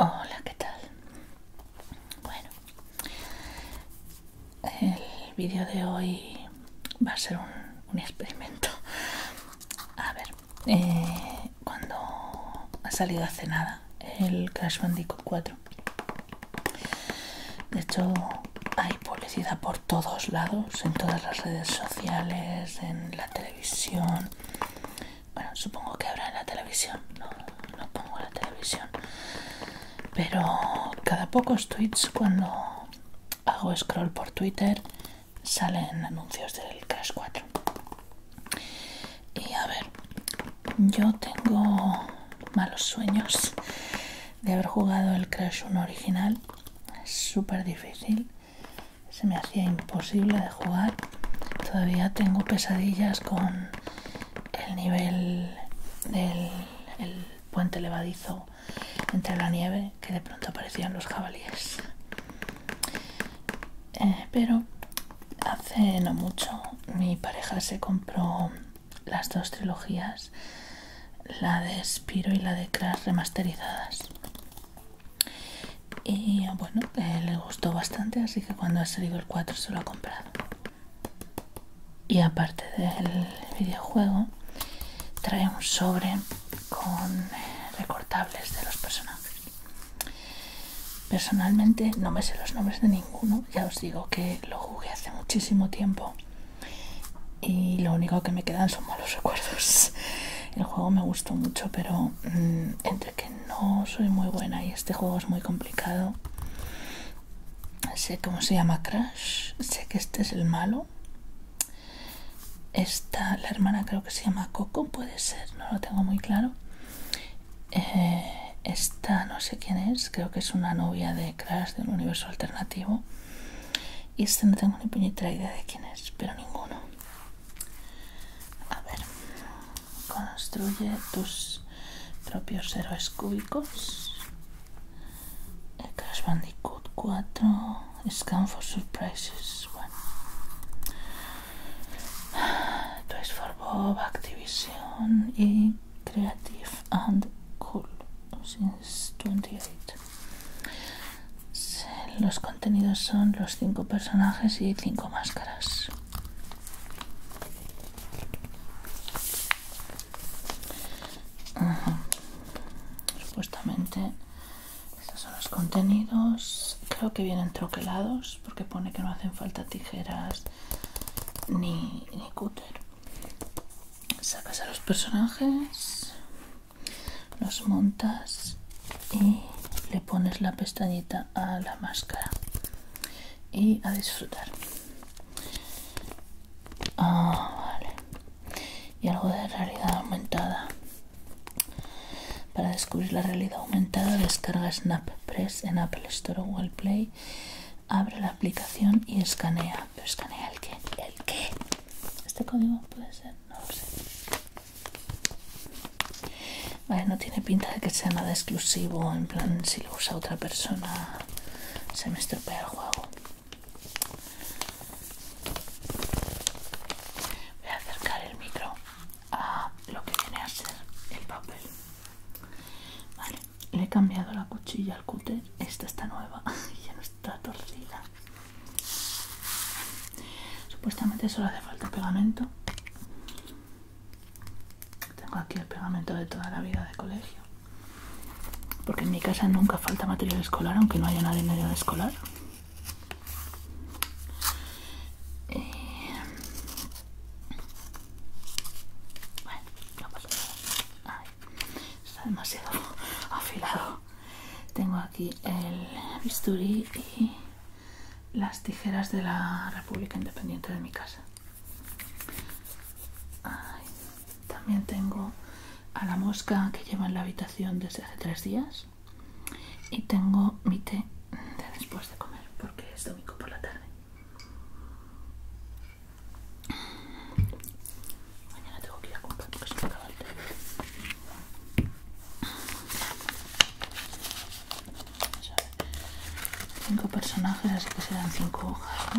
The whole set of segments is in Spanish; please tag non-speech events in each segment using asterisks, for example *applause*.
Hola, ¿qué tal? Bueno, el vídeo de hoy va a ser un, experimento. A ver, eh, cuando ha salido hace nada el Crash Bandicoot 4, de hecho hay publicidad por todos lados, en todas las redes sociales, en la televisión. Bueno, supongo que habrá en la televisión, no, no pongo la televisión. Pero cada pocos tweets cuando hago scroll por Twitter, salen anuncios del Crash 4. Y a ver, yo tengo malos sueños de haber jugado el Crash 1 original. Es súper difícil, se me hacía imposible de jugar. Todavía tengo pesadillas con el nivel del puente levadizo entre la nieve que de pronto aparecían los jabalíes. Eh, pero hace no mucho mi pareja se compró las dos trilogías, la de Spiro y la de Crash remasterizadas. Y bueno, eh, le gustó bastante, así que cuando ha salido el 4 se lo ha comprado y aparte del videojuego trae un sobre con recortables de los personajes personalmente no me sé los nombres de ninguno ya os digo que lo jugué hace muchísimo tiempo y lo único que me quedan son malos *laughs* recuerdos el juego me gustó mucho pero mm, entre que no soy muy buena y este juego es muy complicado sé cómo se llama Crash sé que este es el malo esta, la hermana creo que se llama Coco, puede ser, no lo tengo muy claro. Eh, esta no sé quién es, creo que es una novia de Crash de un universo alternativo. Y este no tengo ni puñetera idea de quién es, pero ninguno. A ver, construye tus propios héroes cúbicos el Crash Bandicoot 4, Scan for Surprises, bueno, Toys for Bob, Activision y Creative and Cool since 28. Los contenidos son los 5 personajes y 5 máscaras. Supuestamente estos son los contenidos. Creo que vienen troquelados porque pone que no hacen falta tijeras ni, cúter. Sacas a los personajes, los montas y le pones la pestañita a la máscara y a disfrutar. Ah, vale y algo de realidad aumentada. Para descubrir la realidad aumentada, descarga SnapPress en Apple Store o Google Play, abre la aplicación y escanea. escanea el qué? ¿El qué? ¿Este código puede ser? No lo sé. Vale, no tiene pinta de que sea nada exclusivo, en plan si lo usa otra persona se me estropea el juego. Voy a acercar el micro a lo que viene a ser el papel. Vale, le he cambiado la cuchilla al cúter. Esta está nueva *laughs* y ya no está torcida. Supuestamente solo hace falta pegamento. Tengo aquí el pegamento de toda la vida de colegio. Porque en mi casa nunca falta material escolar, aunque no haya nadie en de escolar. Eh, bueno, vamos está demasiado *laughs* afilado. Tengo aquí el bisturí y las tijeras de la República Independiente de mi casa. También tengo a la mosca que lleva en la habitación desde hace tres días. Y tengo mi té de después de comer, porque es domingo por la tarde. Mañana tengo que ir a comprar porque se me acaba el té. Cinco personajes, así que serán cinco hojas,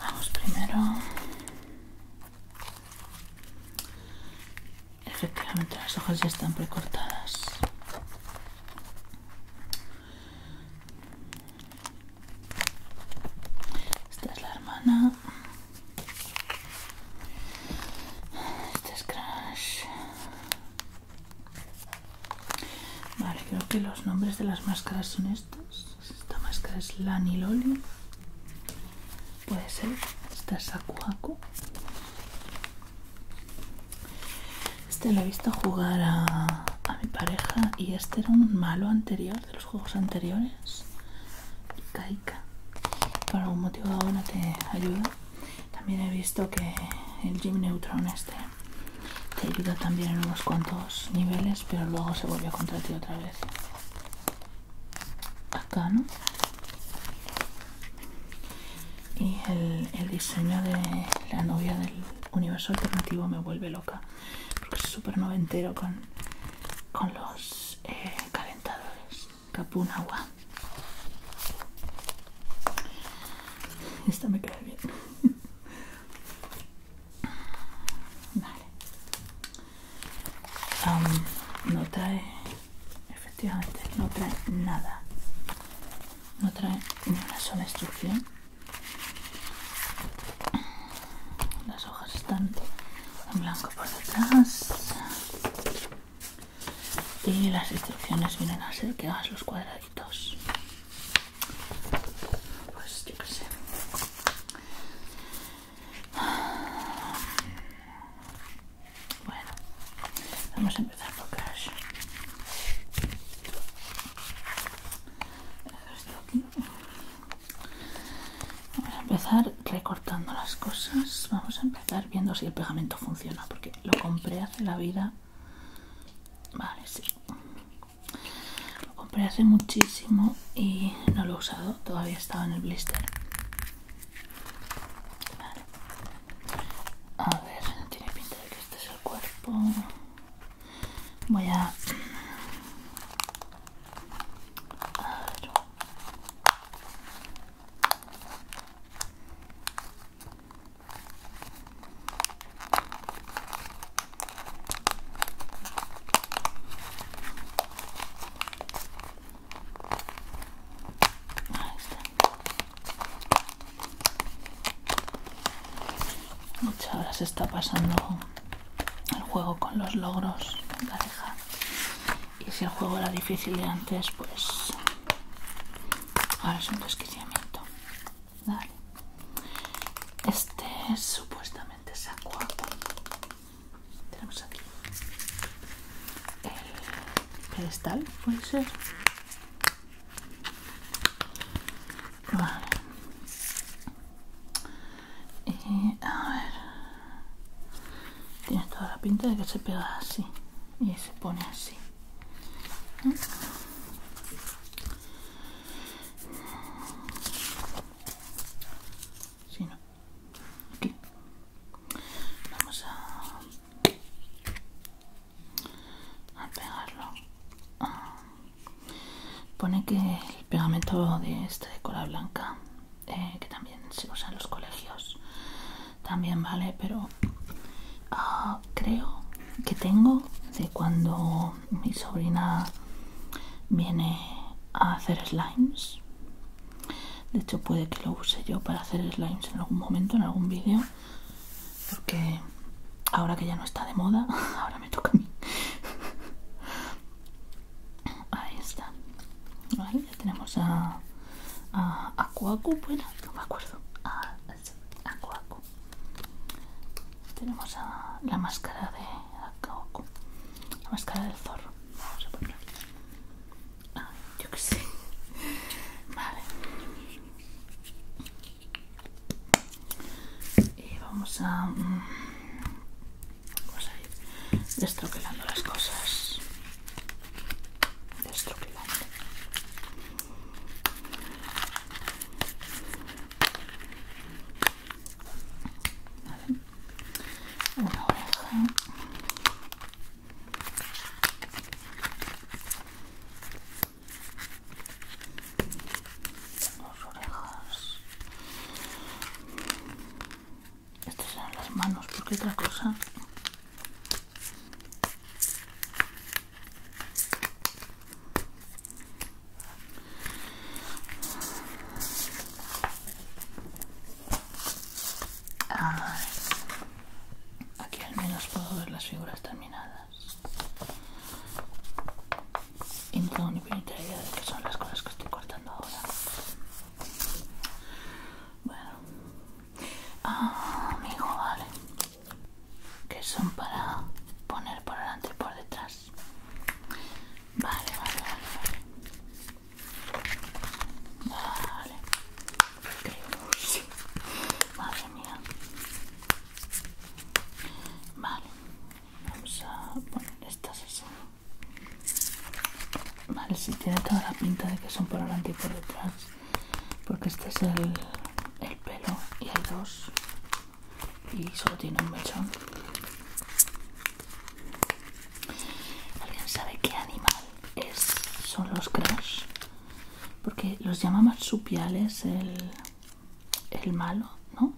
Vamos primero. Efectivamente las hojas ya están precortadas. Esta es la hermana. Este es Crash. Vale, creo que los nombres de las máscaras son estos Esta máscara es Lani Loli Puede ser. Esta es Akuaku. Este lo he visto jugar a, mi pareja y este era un malo anterior de los juegos anteriores. Kaika. Por algún motivo ahora te ayuda. También he visto que el Jim Neutron este te ayuda también en unos cuantos niveles pero luego se vuelve contra ti otra vez acá no y el, diseño de la novia del universo alternativo me vuelve loca porque es súper noventero con, con los eh, calentadores Capunagua agua esta me queda bien *laughs* no trae efectivamente no trae nada no trae ni una sola instrucción las hojas están en blanco por detrás y las instrucciones vienen a ser que hagas los cuadraditos pues yo qué sé. Bueno, vamos a empezar por Crash. Vamos a empezar recortando las cosas. Vamos a empezar viendo si el pegamento funciona, porque lo compré hace la vida Vale, sí. Lo compré hace muchísimo y no lo he usado, todavía estaba en el blister. Vale. A ver, no tiene pinta de que este es el cuerpo. Voy a... a ver. Ahí está. Muchas ahora se está pasando el juego con los logros en Y si el juego era difícil de antes, pues ahora es un desquiciamiento. Este supuestamente es acuaco. Tenemos aquí el pedestal, puede ser. Vale. Y a ver. Tiene toda la pinta de que se pega así. Y se pone así. Sí, no. Aquí. Vamos a, a pegarlo. Ah. Pone que el pegamento de este de cola blanca, eh, que también se usa en los colegios, también vale, pero ah, creo que tengo de cuando mi sobrina viene a hacer slimes. De hecho puede que lo use yo para hacer slimes en algún momento, en algún vídeo. Porque ahora que ya no está de moda, *laughs* ahora me toca a mí. Ahí está. ya tenemos a, a, a bueno, no me acuerdo. Ah, a Aku Tenemos a la máscara de Aku La máscara del zorro. Vamos a poner Ah, yo que sé. *laughs* Vale. Y vamos a. Mm, vamos a ir destroquelando las cosas. Destroquelando. Una oreja. Dos orejas. Estas son las manos, porque otra cosa aquí al menos puedo ver las figuras terminadas y no tengo ni pinta idea de que son las cosas que estoy cortando ahora bueno ah, amigo vale que son para poner por delante y por detrás. Vale, vale, vale, vale. Vale, Madre mía. Vale, vamos a poner estas así. Vale, si tiene toda la pinta de que son por delante y por detrás porque este es el, pelo y hay dos y solo tiene un mechón alguien sabe qué animal es son los crash porque los llama marsupiales el, el malo no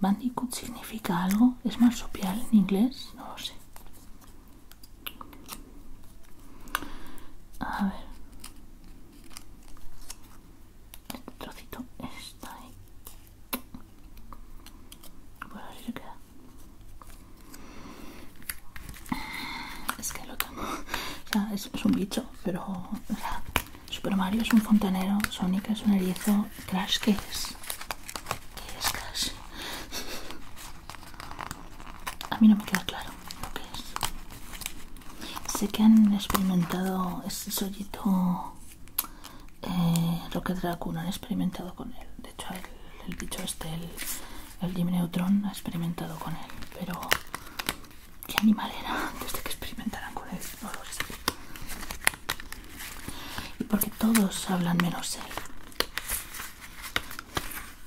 bandicoot significa algo es marsupial en inglés no lo sé a ver. Este trocito está ahí. ver ver se queda. Es que lo tengo. O sea, es, un bicho, pero. O sea, Super Mario es un fontanero, Sonic es un erizo, Crash, ¿qué es? ¿Qué es Crash? A mí no me queda claro lo que es. Sé que han experimentado ese solito Rocket eh, Raccoon, han experimentado con él. De hecho, el, bicho este, el, Neutron, ha experimentado con él. Pero, ¿qué animal era antes que experimentaran con él? Y porque todos hablan menos él.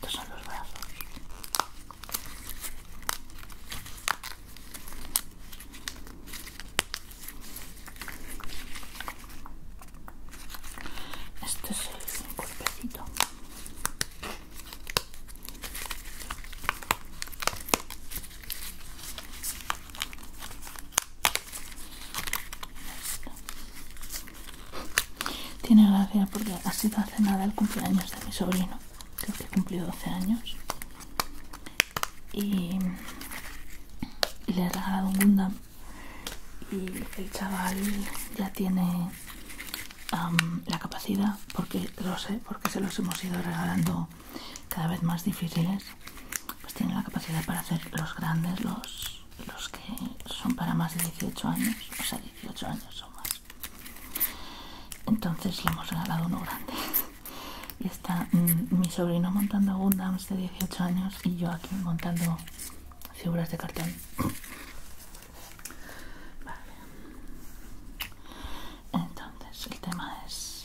Estos son los brazos. Este es el cuerpecito. Tiene gracia porque ha sido hace nada el cumpleaños de mi sobrino, creo que cumplido 12 años. Y, le he regalado un Gundam. Y el chaval ya tiene la capacidad, porque lo sé, porque se los hemos ido regalando cada vez más difíciles pues tiene la capacidad para hacer los grandes, los, los que son para más de 18 años, o sea, 18 años o más. Entonces le hemos regalado uno grande. Y está mm, mi sobrino montando Gundams de 18 años y yo aquí montando figuras de cartón. Vale. Entonces el tema es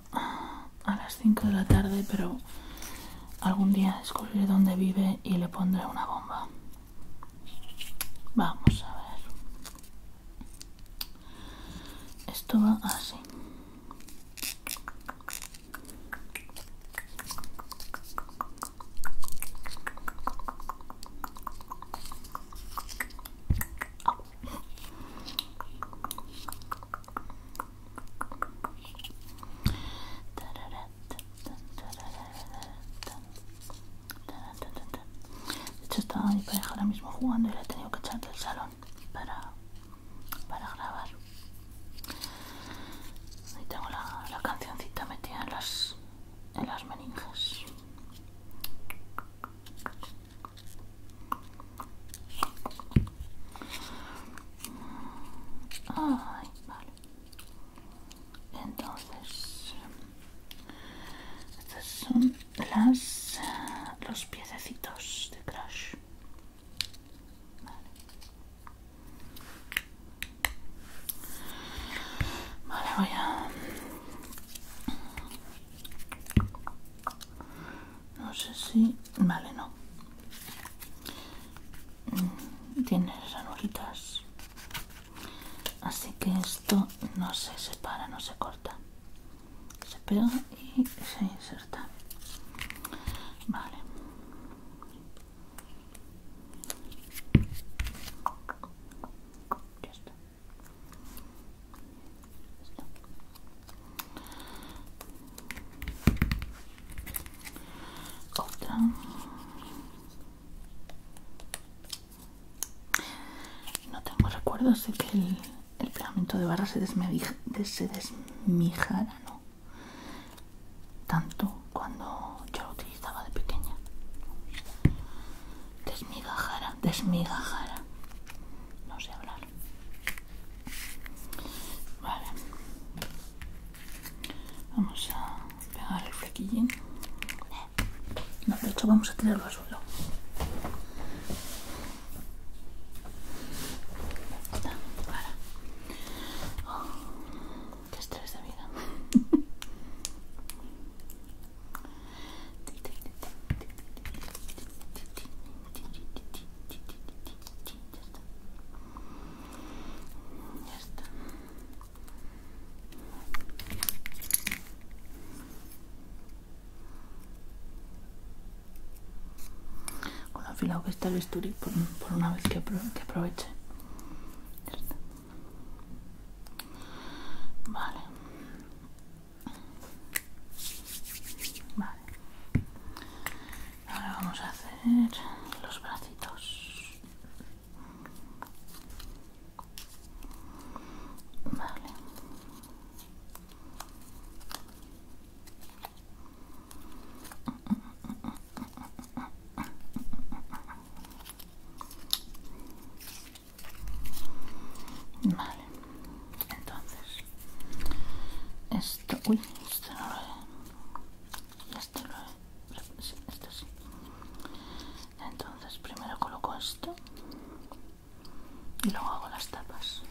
a las 5 de la tarde, pero algún día descubriré dónde vive y le pondré una bomba. Vamos a ver. Esto va así. De hecho estaba mi pareja ahora mismo jugando y le he tenido que echar del salón para, para grabar. Ahí tengo la, la cancioncita metida en las, en las meninges vale. Entonces, estas son las los piececitos de Crash. Vale. Vale, voy a no sé si vale no mm, tiene esas así que esto no se separa no se corta se pega y se inserta vale no tengo recuerdos de que el, pegamento de barra se, desmijara no tanto cuando yo lo utilizaba de pequeña desmigajara desmigajara no sé hablar Vale. Vamos a pegar el flequillín. No, de hecho vamos a tenerlo azul. suelo. Está, para. Oh, qué estrés de vida. *laughs* Ya está. Con afilado que está el bisturí, por, una vez que, que aproveche. Ya está. Vale. Vale. Ahora vamos a hacer los bracitos. Vale. Vale entonces esto uy esto no lo he esto lo he sí, este sí entonces primero coloco esto y luego hago las tapas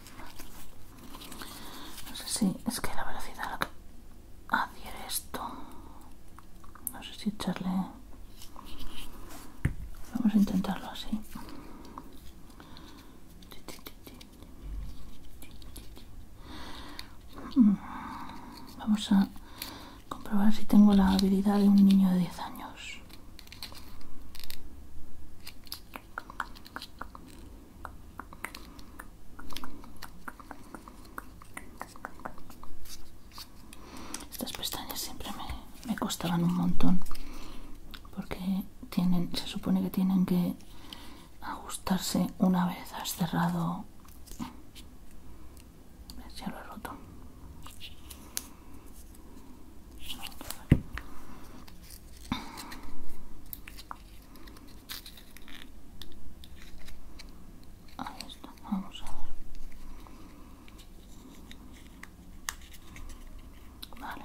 no sé si es que la velocidad a la que adhiere esto no sé si echarle vamos a intentarlo así Mm. Vamos a comprobar si tengo la habilidad de un niño de 10 años. Estas pestañas siempre me, me costaban un montón porque tienen, se supone que tienen que ajustarse una vez has cerrado. Ya lo he roto. Ahí está, vamos a ver. Vale,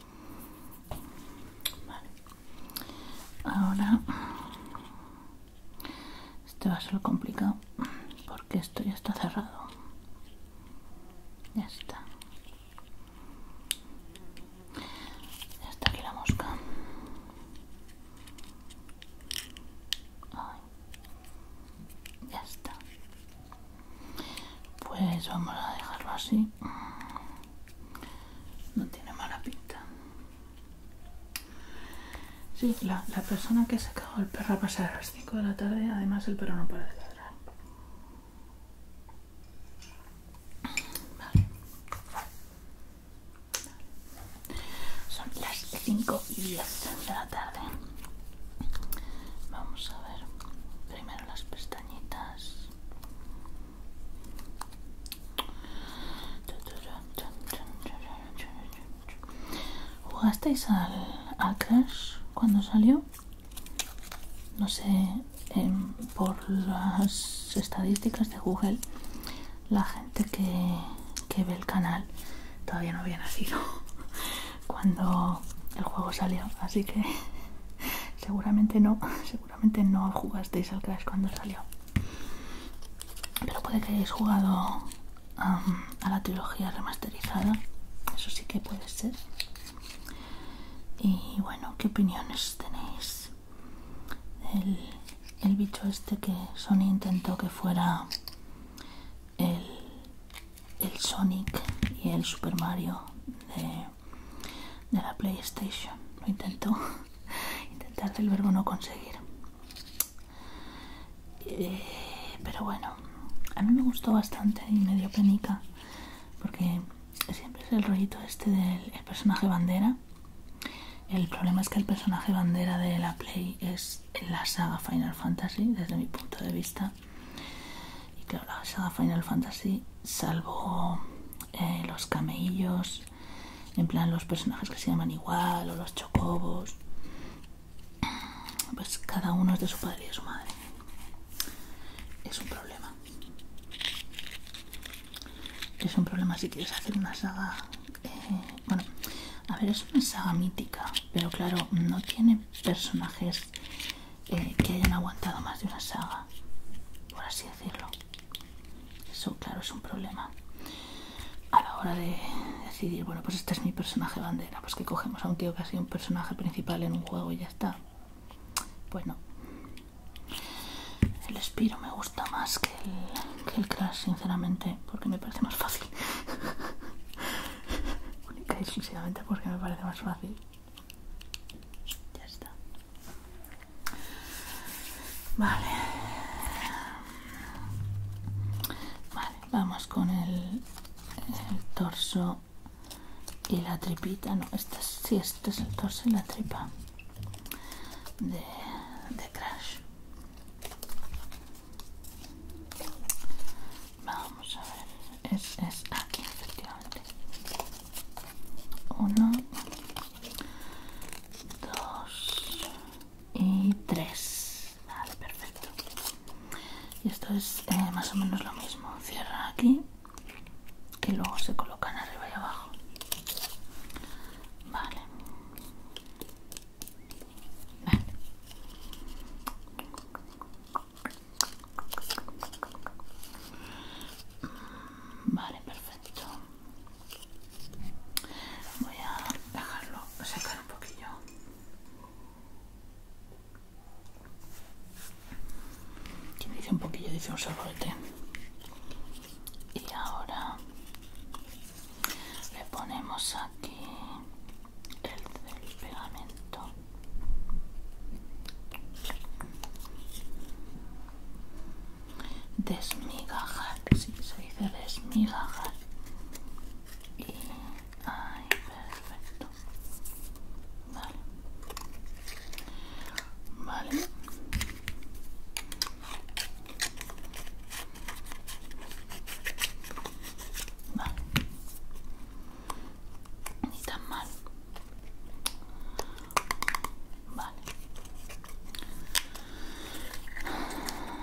Vale. Ahora este va a ser complicado porque esto ya está cerrado. Ya está. Ya está aquí la mosca. Ya está. Pues vamos a dejarlo así. No tiene mala pinta. Sí, la, persona que se cagó el perro a pasar a las 5 de la tarde, además el perro no puede de ladrar. Vale. Son las 5 y 10 de la tarde. Vamos a ver primero las pestañitas. ¿Jugasteis al, cuando salió? No sé, em, por las estadísticas de Google, la gente que, que ve el canal todavía no había nacido. *laughs* cuando el juego salió, así que *laughs* seguramente no, *laughs* seguramente no jugasteis al Crash cuando salió. Pero puede que hayáis jugado a la trilogía remasterizada, eso sí que puede ser. Y bueno, ¿qué opiniones tenéis? El, el bicho este que Sony intentó que fuera el el Sonic y el Super Mario de, la PlayStation. Lo intento. *laughs* Intentar el verbo no conseguir. Eh, pero bueno, a mí me gustó bastante y me dio penica. Porque siempre es el rollito este del personaje bandera. El problema es que el personaje bandera de la Play es la saga Final Fantasy, desde mi punto de vista. Y claro, la saga Final Fantasy, salvo eh, los camellos en plan los personajes que se llaman igual o los chocobos, pues cada uno es de su padre y de su madre. Es un problema. Es un problema si quieres hacer una saga... Eh, bueno, a ver, es una saga mítica, pero claro, no tiene personajes eh, que hayan aguantado más de una saga, por así decirlo. Eso, claro, es un problema a la hora de decidir, bueno, pues este es mi personaje bandera, pues que cogemos a un tío que ha sido un personaje principal en un juego y ya está. Pues no. El Spiro me gusta más que el, que el sinceramente, porque me parece más fácil. *laughs* Única porque me parece más fácil. Ya está. Vale. Vale, vamos con el, el torso y la tripita. No, este es, este es el torso y la tripa de, de Crash. Vamos a ver es, aquí efectivamente uno dos y tres vale perfecto y esto es eh, más o menos lo mismo cierra aquí y luego se colocan arriba y abajo vale Vale, perfecto. Voy a dejarlo secar un poquillo. Quien dice un poquillo dice un sorbete. Y ahora le ponemos aquí el pegamento desmigajar, sí, se dice desmigajar y ay, perfecto vale vale Vale. Ni tan mal. Vale. Vale.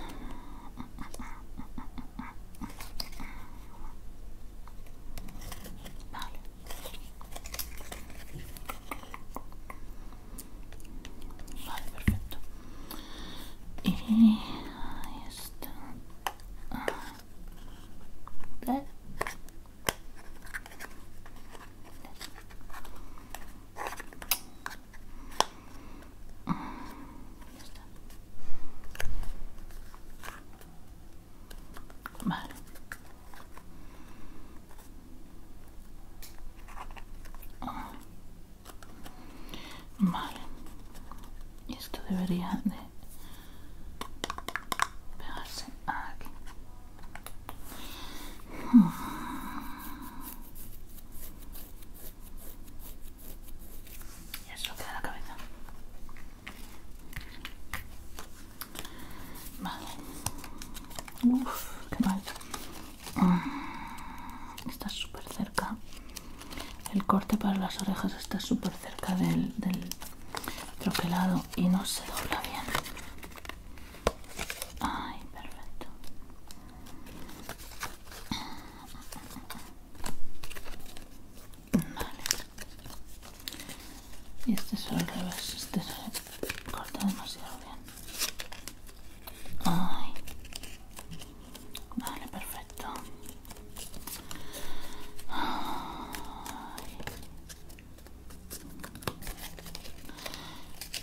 Vale, perfecto. Y está. Vale. Vale. Esto debería de pegarse aquí. Y eso queda la cabeza. Vale. uff, qué mal. Está súper cerca. El corte para las orejas está súper cerca del, troquelado y no se dobla bien. Ay, perfecto. Vale. Y este es al revés, este se corta demasiado bien. Ay. Vale, perfecto.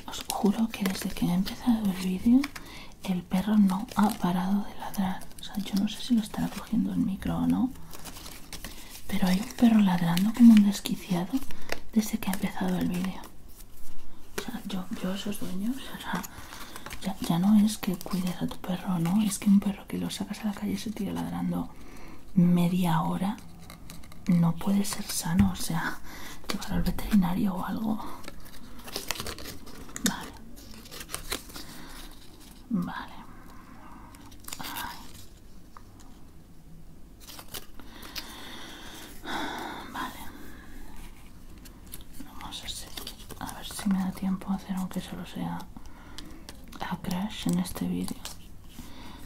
Os juro que desde que he empezado el vídeo el perro no ha parado de ladrar. O sea, yo no sé si lo estará cogiendo el micro o no. Pero hay un perro ladrando como un desquiciado desde que ha empezado el vídeo. O sea, yo, esos dueños, o sea, ya, ya no es que cuides a tu perro, ¿no? Es que un perro que lo sacas a la calle y se tira ladrando media hora no puede ser sano, o sea, llevar al veterinario o algo. Vale. Vale. Vale. Vamos a A ver si me da tiempo a hacer, aunque solo sea a Crash en este vídeo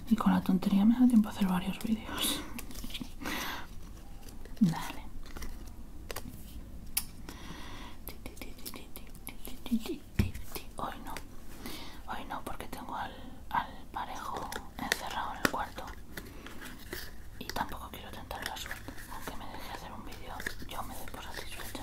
y con la tontería me da tiempo a hacer varios vídeos hoy no hoy no porque tengo al, al parejo encerrado en el cuarto y tampoco quiero tentar la suerte aunque me deje hacer un vídeo yo me doy por satisfecha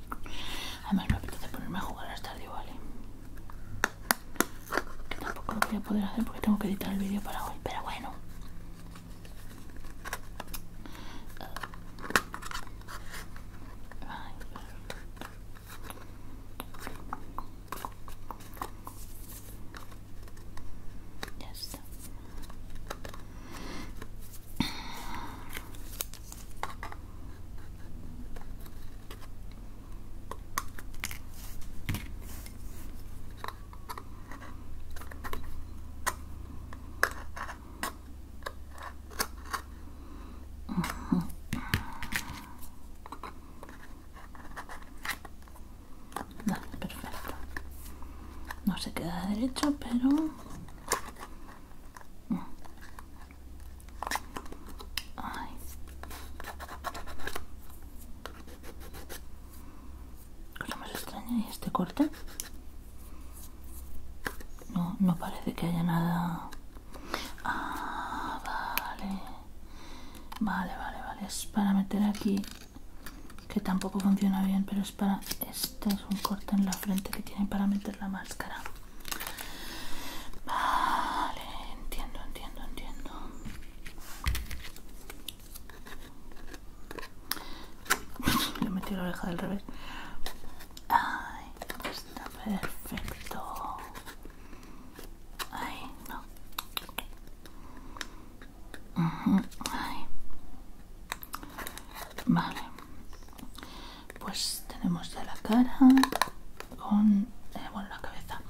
Además me apetece ponerme a jugar hasta estadio, ¿vale? Que tampoco lo voy a poder hacer porque tengo que editar el vídeo para hoy, pero bueno. ya está. No se queda derecho, pero Ay. Cosa más extraña, ¿y este corte? No, no parece que haya nada. Ah, vale. Vale, vale, vale. Es para meter aquí. Que tampoco funciona bien, pero es para. Este es un corte en la frente que tienen para meter la máscara. Vale, entiendo, entiendo, entiendo. Le *laughs* metí la oreja del revés. Ay, está perfecto. Ay, no. Ay. Vale pues tenemos ya la cara con eh, bueno la cabeza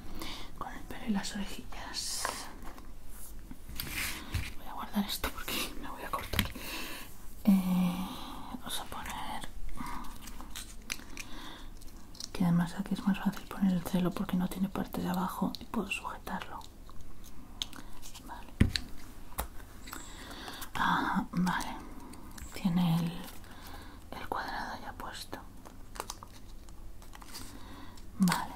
con el pelo y las orejillas voy a guardar esto porque me voy a cortar eh, vamos a poner que además aquí es más fácil poner el celo porque no tiene parte de abajo y puedo sujetarlo vale ah, vale tiene el el cuadrado ya puesto vale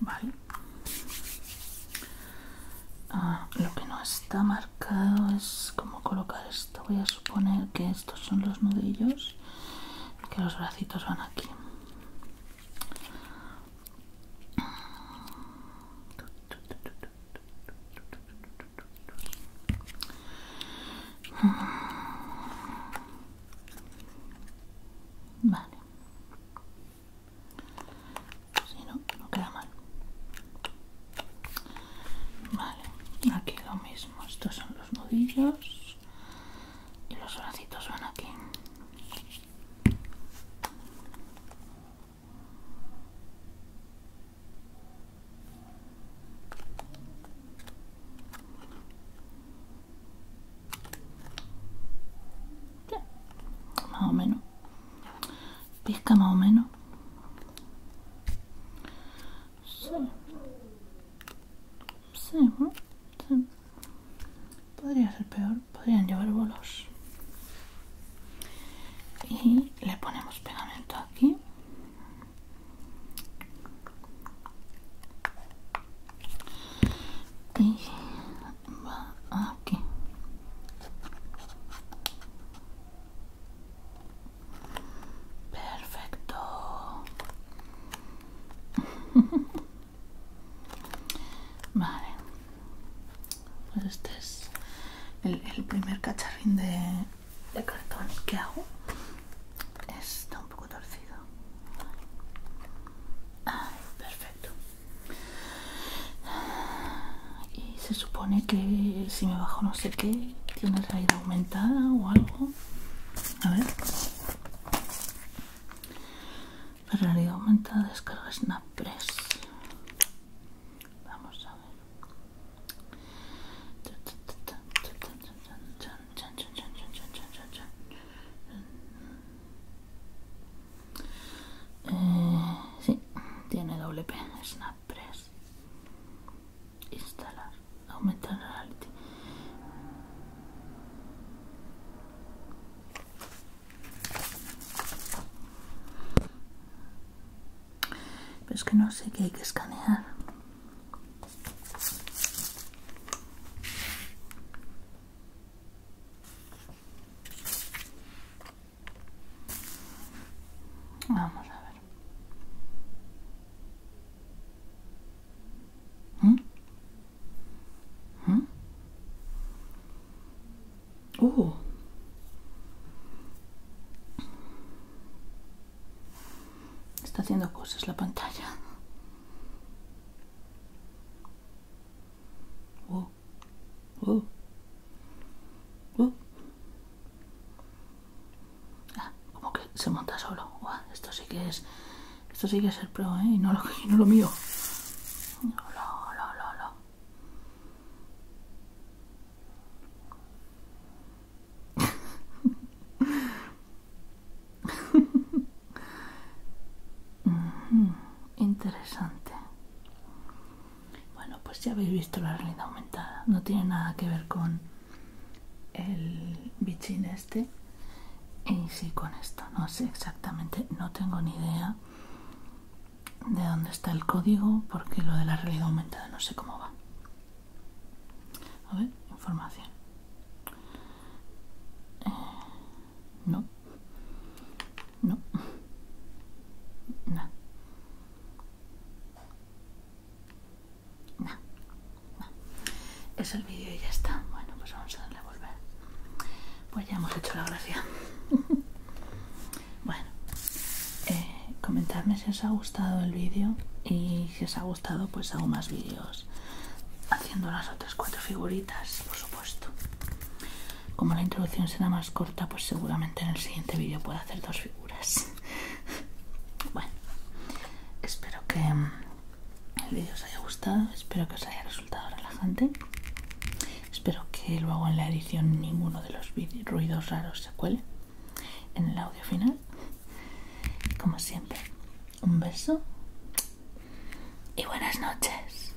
vale ah, lo que no está marcado es como colocar esto voy a suponer que estos son los nudillos que los bracitos van aquí Vale. Si no, no queda mal. Vale, aquí lo mismo. Estos son los nudillos y los bracitos van aquí más o menos. Pesca más o menos. Sí. Sí, Podría ser peor. Podrían llevar bolos y le ponemos pegamento aquí y va aquí perfecto *laughs* vale pues este es el, primer cacharrín de, cartón que hago. Está un poco torcido. perfecto. Y se supone que si me bajo no sé qué, tiene realidad aumentada o algo. A ver. Realidad aumentada, descarga Snappress. Vamos a ver. Eh, sí, tiene doble P, Snap Press. Instalar, aumentar reality. Pero es que no sé qué hay que escanear. Vamos a ver. ¿Mm? ¿Mm? Está haciendo cosas la pantalla. Ah, como que se monta solo. esto sí que es. Esto sí que es el pro, ¿eh? Y no lo, lo mío. Interesante. Bueno, pues ya habéis visto la realidad aumentada. No tiene nada que ver con el bichín este. Y sí con esto. No sé exactamente. No tengo ni idea de dónde está el código porque lo de la realidad aumentada no sé cómo va. A ver, información. Eh, no. No. nada Es el vídeo y ya está. Bueno, pues vamos a darle a volver. Pues ya hemos hecho la gracia. *laughs* Bueno, eh, comentadme si os ha gustado el vídeo y si os ha gustado pues hago más vídeos haciendo las otras cuatro figuritas, por supuesto. Como la introducción será más corta, pues seguramente en el siguiente vídeo puedo hacer dos figuras. *laughs* bueno, espero que mm, el vídeo os haya gustado, espero que os haya resultado relajante Espero que luego en la edición ninguno de los ruidos raros se cuele en el audio final. Como siempre, un beso y buenas noches.